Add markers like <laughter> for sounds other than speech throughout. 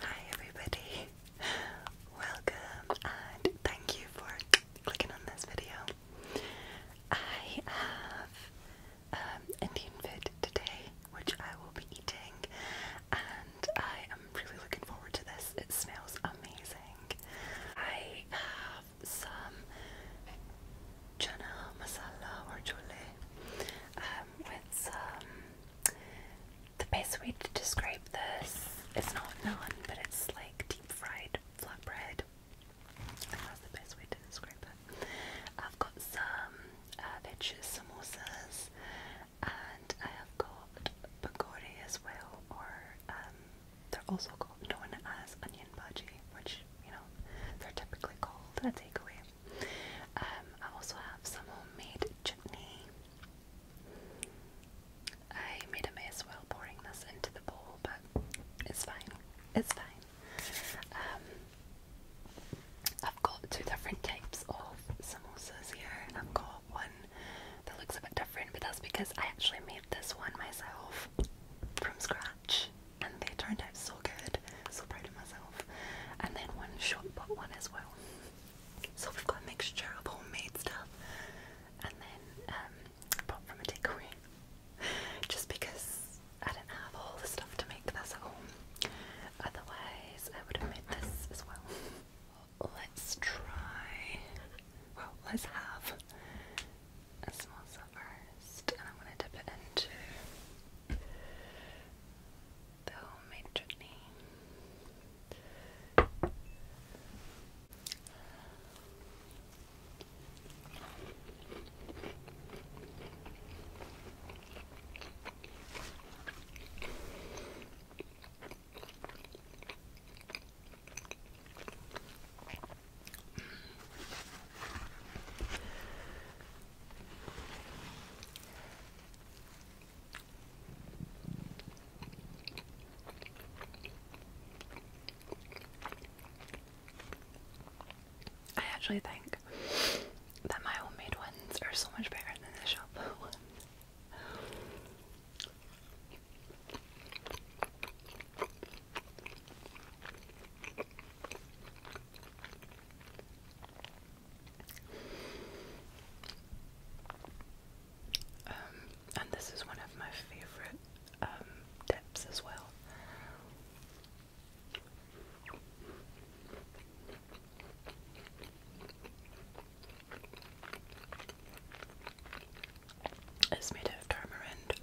Hi everybody, welcome and thank you for clicking on this video. I have um, Indian food today, which I will be eating, and I am really looking forward to this. It smells amazing. I have some chana masala or chole um, with some the best way to describe this is not naan, but it's like deep fried flatbread. That's the best way to describe it. I've got some uh, samosas, and I have got pakora as well, or um, they're also called known as onion bhaji, which you know they're typically called a takeaway. Um, I also have some homemade chutney. I made a mess while pouring this into the bowl, but it's fine. It's fine. Um, I've got two different types of samosas here. I've got one that looks a bit different, but that's because I actually made this one myself from scratch, and they turned out so good. So proud of myself and then one shot put one as well. So we've got a mixture of homemade stuff and then um, from a takeaway. <laughs> Just because I didn't have all the stuff to make this at home, otherwise I would have made this as well. Let's try. Well, let's have a small first, and I'm gonna dip it into the homemade journey. I actually think that my homemade ones are so much better than the shop <laughs> ones. Um, and this is one of my favorite um, dips as well. It's made of tamarind,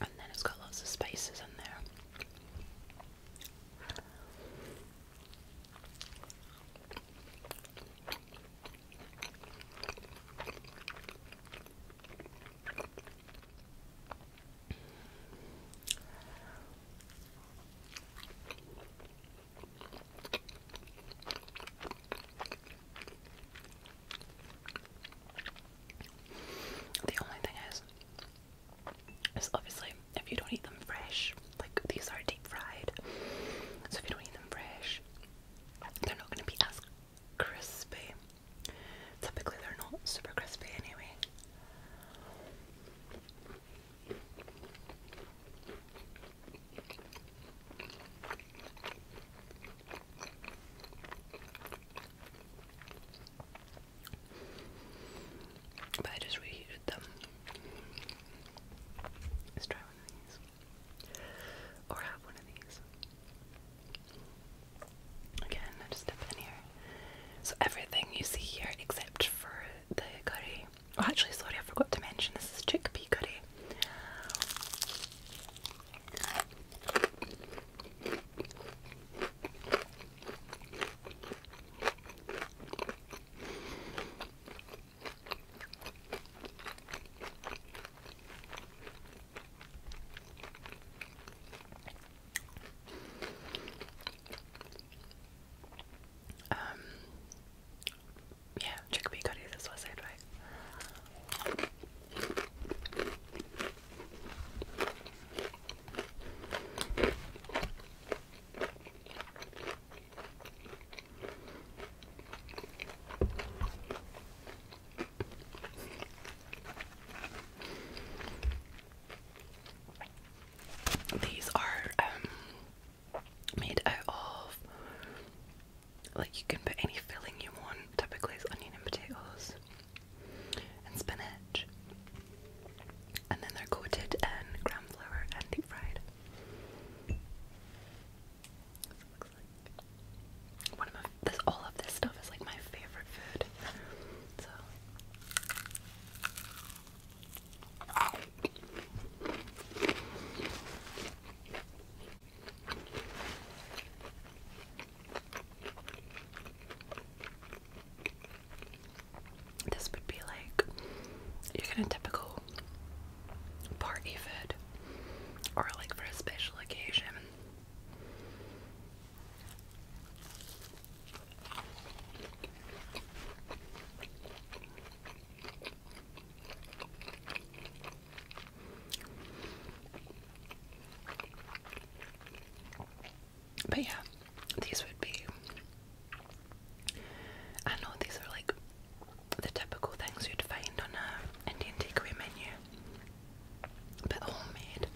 and then it's got lots of spices in there. The only thing is, so obviously, if you don't eat them fresh, like these are deep fried, so if you don't eat them fresh, they're not going to be as crispy. Typically, they're not super crispy anyway. But I just reheated them. Let's try one of these. Or have one of these. Again, I just step in here. So everything you see here except for the curry. Oh actually sorry I forgot to mention this is chickpea curry. Um, yeah, chickpea curry, this was it, these are um, made out of like you can put any filling you want. Typically, it's onion and potatoes and spinach. And then they're coated in gram flour and deep fried. all of this stuff is like my favorite food. This would be like you get a typical party food or like for a special occasion. But yeah, these would be. I know these are like the typical things you'd find on a Indian takeaway menu, but homemade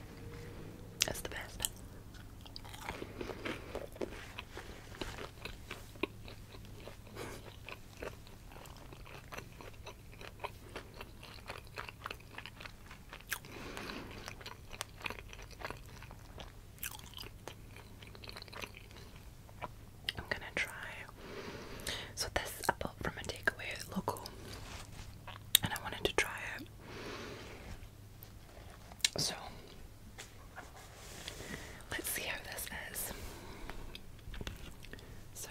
is the best. I'm gonna try. So this I bought from a takeaway local, and I wanted to try it. So let's see how this is. So.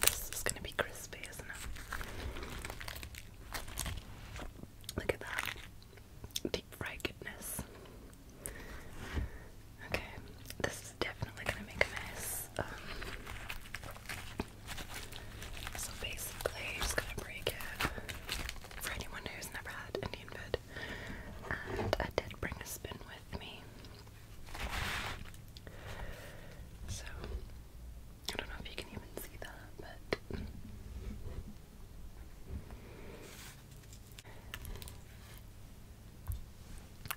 This is gonna be crispy, isn't it? Look at that deep fried goodness. Okay, this is definitely gonna make a mess. Um, so basically, just gonna break it for anyone who's never had Indian food. And I did bring a spoon with me. So I don't know if you can even see that, but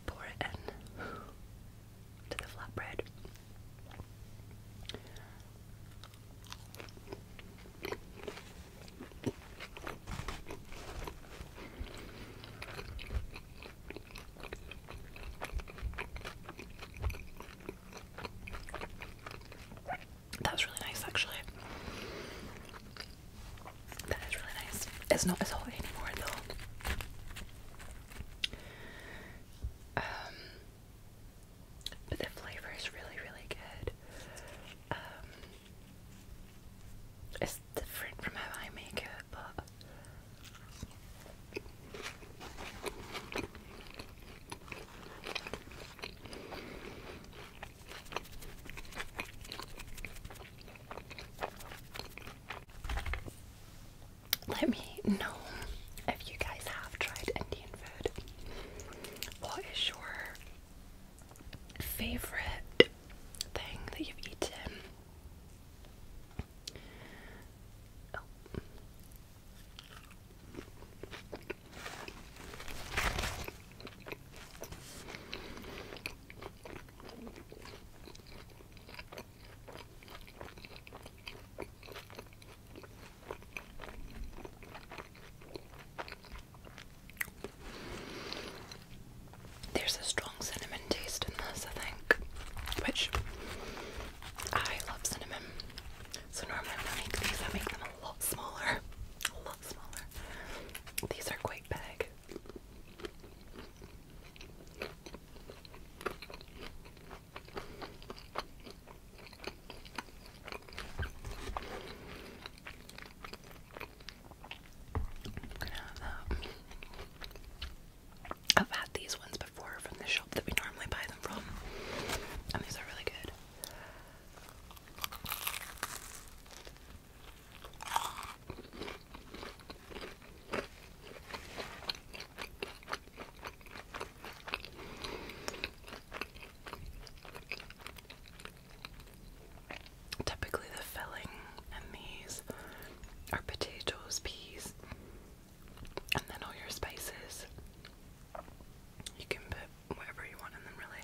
pour it in to the flatbread. That's really nice, actually. That is really nice. It's not as hot anymore, though. Um, but the flavor is really, really good. Um, it's different from how I make it, but let me know if you guys have tried Indian food. What is your favorite thing that you've eaten? There's a straw cinnamon taste in this, I think. Which I love cinnamon. So normally when I make these, I make them a lot smaller. A lot smaller. These are quite big. I've had these ones before from the shop that we normally buy them from, and these are really good. Typically, the filling in these are potatoes, peas, and then all your spices. You can put whatever you want in them, really.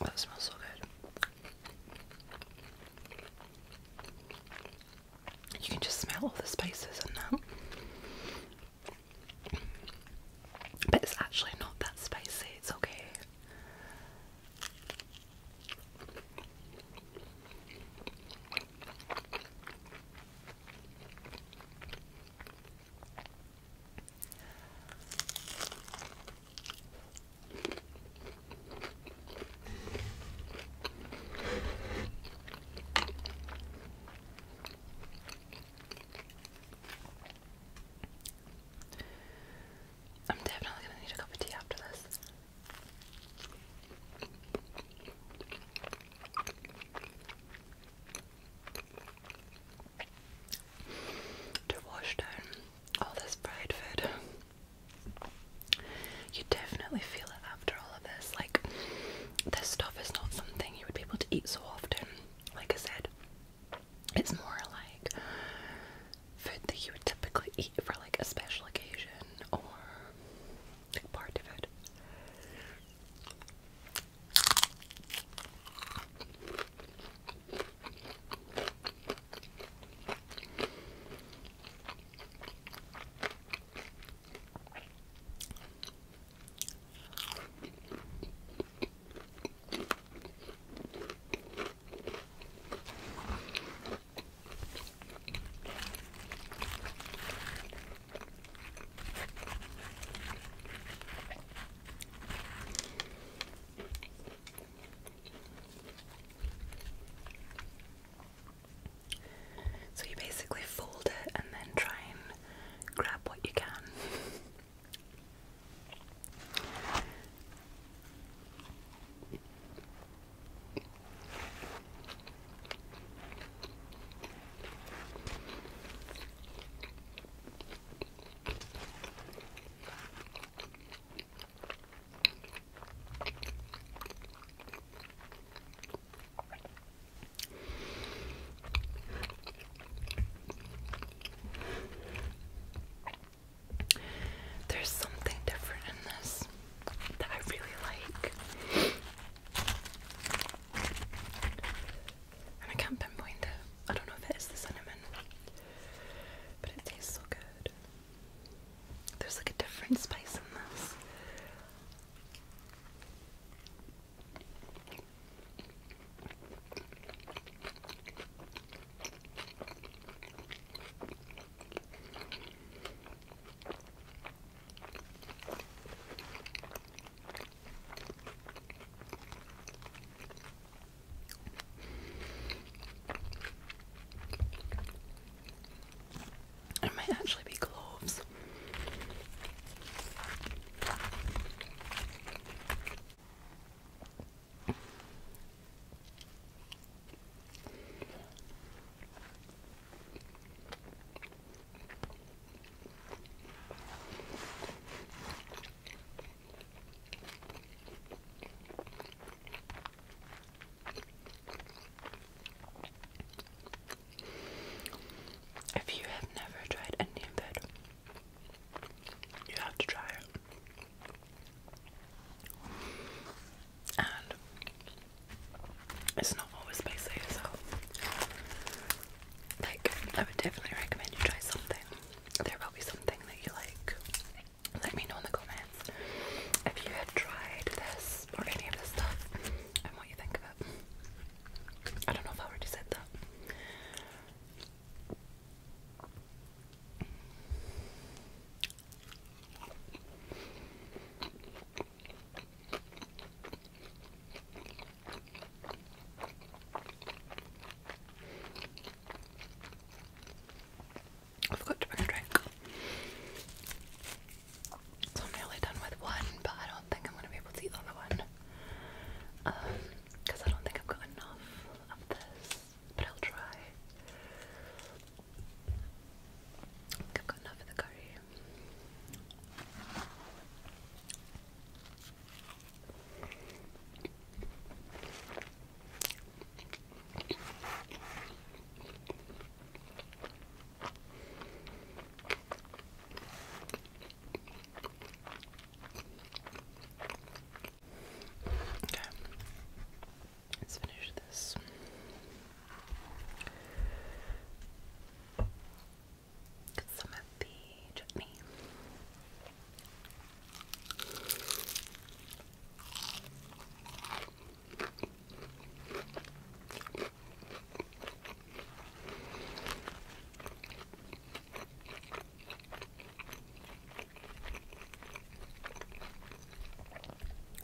Oh, that smells so good. You can just smell all the spices in that. But it's actually not that spicy, it's okay. I'm definitely going to need a cup of tea after this. To wash down all this fried food. You definitely feel it after all of this. Like, this stuff is not something you would be able to eat so often. Like I said, it's more like food that you would typically eat for like a special occasion or big part of it. So you basically fold it and then try and grab what you can. There's something different in this that I really like. And I can't pinpoint it. I don't know if it is the cinnamon, but it tastes so good. There's like a different spice in this. It might actually be cloves. If you have never tried Indian food, you have to try it and it's not always spicy, so like I would definitely recommend you try something. There will be something that you like. Let me know in the comments if you had tried this or any of this stuff and what you think of it. I don't know if I already said that. I forgot to bring a drink. So I'm nearly done with one, but I don't think I'm gonna be able to eat the other one. because um, I don't think I've got enough of this but I'll try. I think I've got enough of the curry. Okay. Let's finish this. Get some of the chutney.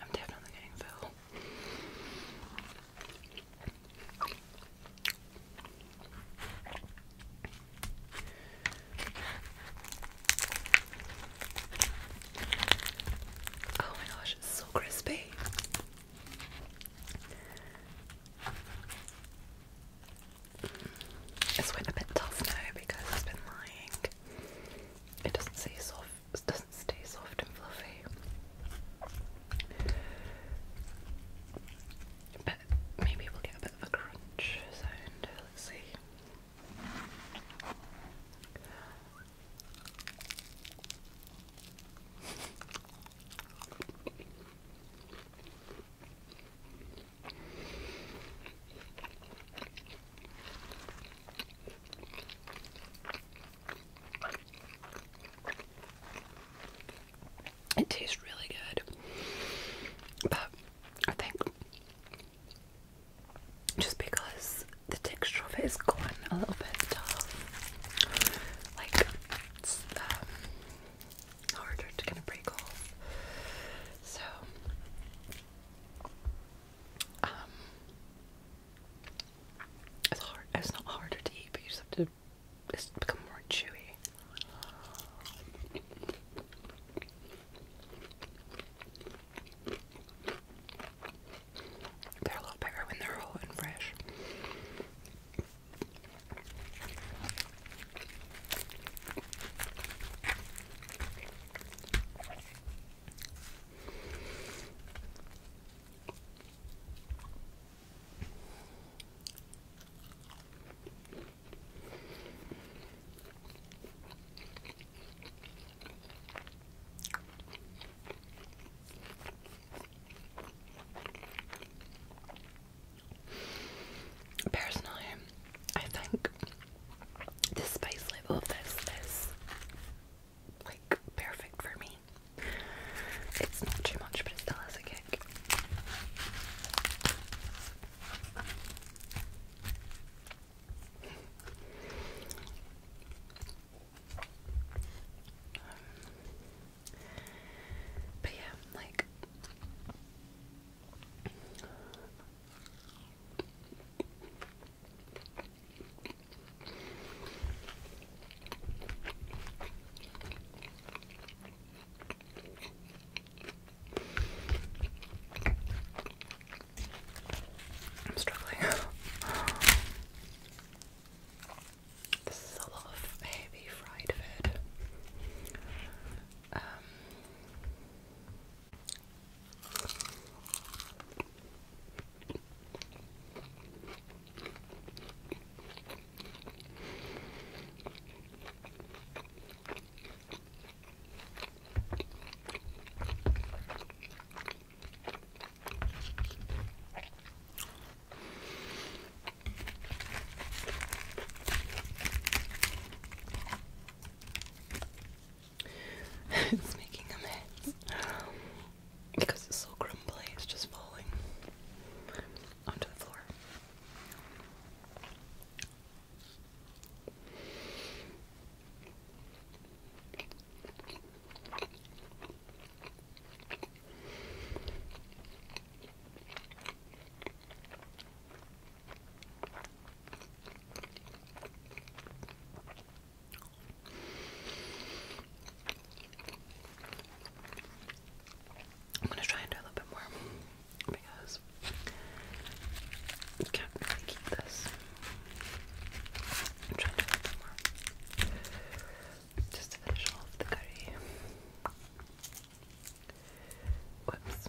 I'm definitely getting full. Oh my gosh, it's so crispy. It's went a bit tough now because it's been lying. It doesn't stay soft. It doesn't stay soft and fluffy. But maybe we'll get a bit of a crunch sound. Let's see. It tastes really good, but I think just because the texture of it is gone, a little bit tough. Like, it's um, harder to kind of break off. So, um, it's hard. It's not harder to eat, but you just have to. It's become more chewy. They're a lot better when they're hot and fresh. Personally, I think the spice level of this is like perfect for me. It's not too much, but it still has a kick. Um, but yeah, like I'm struggling. <laughs> this is a lot of heavy fried food. Um, <laughs> it's making a mess because it's so crumbly, it's just falling onto the floor. I'm going to try and do a little bit more because you can't really keep this. I'm trying to add some just to finish off the curry. Whoops.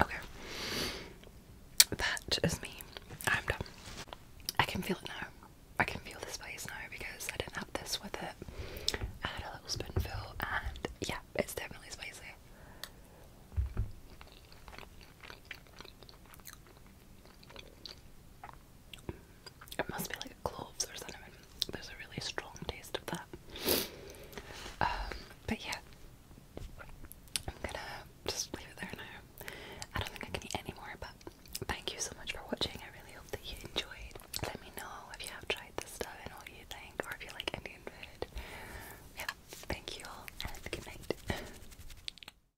Okay. That is me. I'm done. I can feel it now. I can feel this place now because I didn't have this with it. I had a little spoonful and yeah, it's definitely spicy. It must be like cloves or cinnamon. There's a really strong taste of that. Um, but yeah, I'm gonna just leave it there now. I don't think I can eat anymore, but thank you so much for watching. I really hope that you enjoyed. Let me know if you have tried this stuff and what you think, or if you like Indian food. Yeah, thank you all, good night. <laughs>